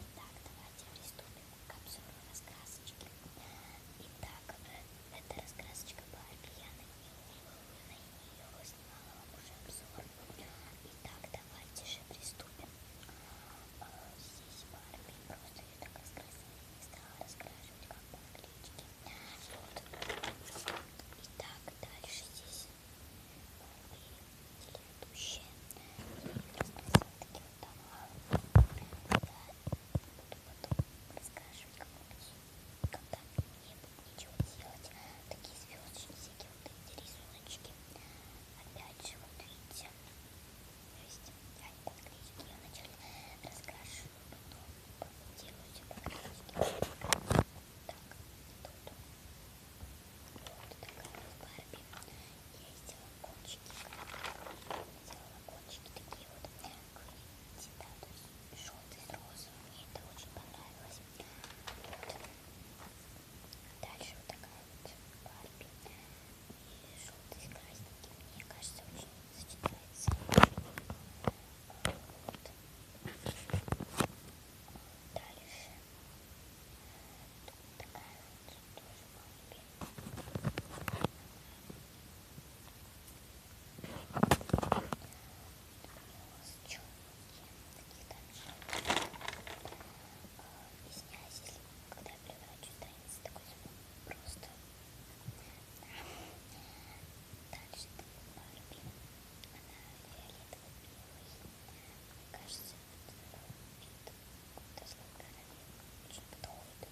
Итак, давайте приступим к обзору раскрасочки. Итак, эта раскрасочка была пьяной и улыбной, и ее снимала вам уже обзор. Итак, давайте же приступим. Здесь Барби просто ее так раскрасила, не стала раскрашивать вроде как по наклеечке. Вот. Итак, дальше здесь были телеведущие. Я их таки удала. Я буду потом расскажу кому-нибудь, когда мне будет ничего делать. Такие звездочки, всякие вот эти рисуночки. Опять же, вот видите, то есть я не подклею, я вначале раскрашу делаю так, тут. Вот такая вот Барби. Я сделала кончики. Сделала кончики такие вот крылья, да, то есть желтый с розовым. Мне это очень понравилось. Вот. Дальше вот такая вот Барби. И желтый с красненьким. Мне кажется, очень сочетается. Вот. Дальше. Тут такая вот тоже голубенькая. У такие также. Извиняюсь, если когда я превращу страницу, такой звук просто Дальше это Барби. Она фиолетово-белый. Мне кажется, это вид кутовской королевы. Очень подходит.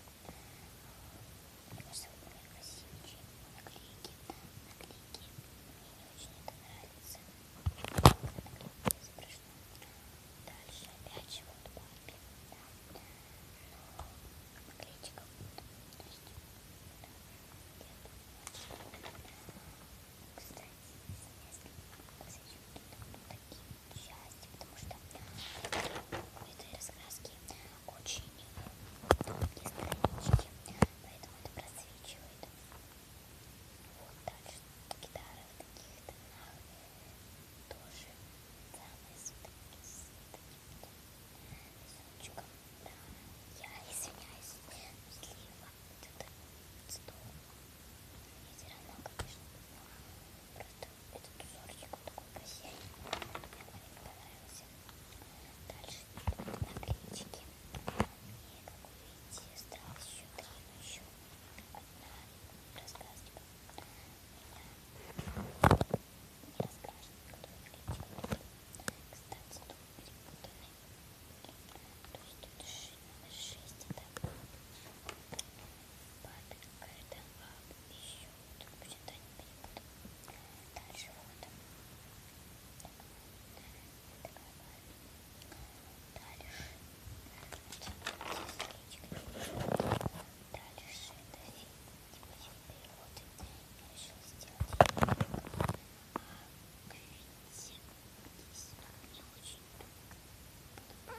Мне кажется, у меня красивые наклейки. Наклейки. Мне не очень это нравится. Наклейки изображены. Дальше опять же вот пенка, но наклеечка будет. То есть, да, Кстати, если косячки ну, такие части, потому что этой раскраски очень тонкие странички, поэтому это просвечивает. Вот дальше гитара в таких тонах тоже самые сутки с сучком. Да, я извиняюсь, если вам что-то стол. Я все равно, конечно, просто этот узорчик вот такой красивый. Мне очень понравился. Дальше наклеечки. И как вы видите, осталось еще три, но еще одна рассказочка. Кстати, тут перепутанный. То есть тут шесть этапов. Папин, Кэрден, Ап, еще. Тут будет они перепутаны. Дальше вот. Такая Дальше. Здесь речка тратишь шедари, типа я переводы, я решил сделать а, квинти. Здесь мне очень долго Я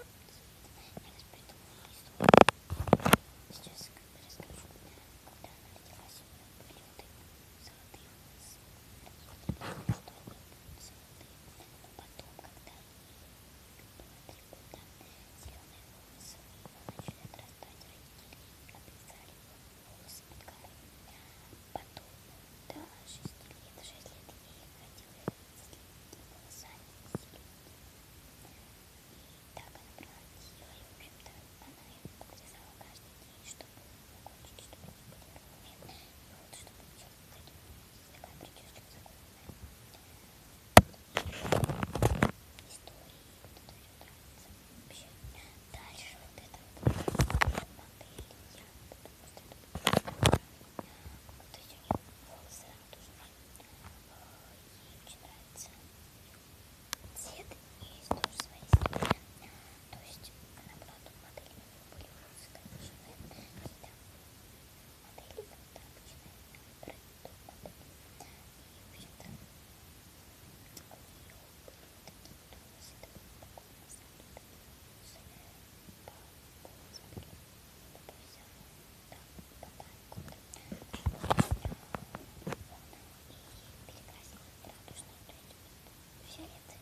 вас придумала историю. Сейчас расскажу, когда она родилась, у нее были вот эти золотые волосы. Золотые волосы, золотые. Но потом, когда три года зеленые волосы у него начали отрастать, родители обрезали волосы под корой. Потом до шести лет, в шесть лет ей ходила с длинными волосами и так она превратила, и в общем-то она его подрезала каждый день, чтобы его кончики, чтобы они были ровные, и вот что получилось, кстати, у нас Вообще. Дальше вот это вот модели. Я просто вот эти у нее волосы, она тоже ей очень нравится. Цвет есть тоже свои стороны. То есть она была тут модель, у нее были волосы, конечно, какие-то модели, когда обычно брать топ-модели. И, в общем-то, у нее были такие тонусы, такой спокойный взгляд, по полозбери, по всему, да, по танку. И перекрасила радужную, то есть фиолетовый.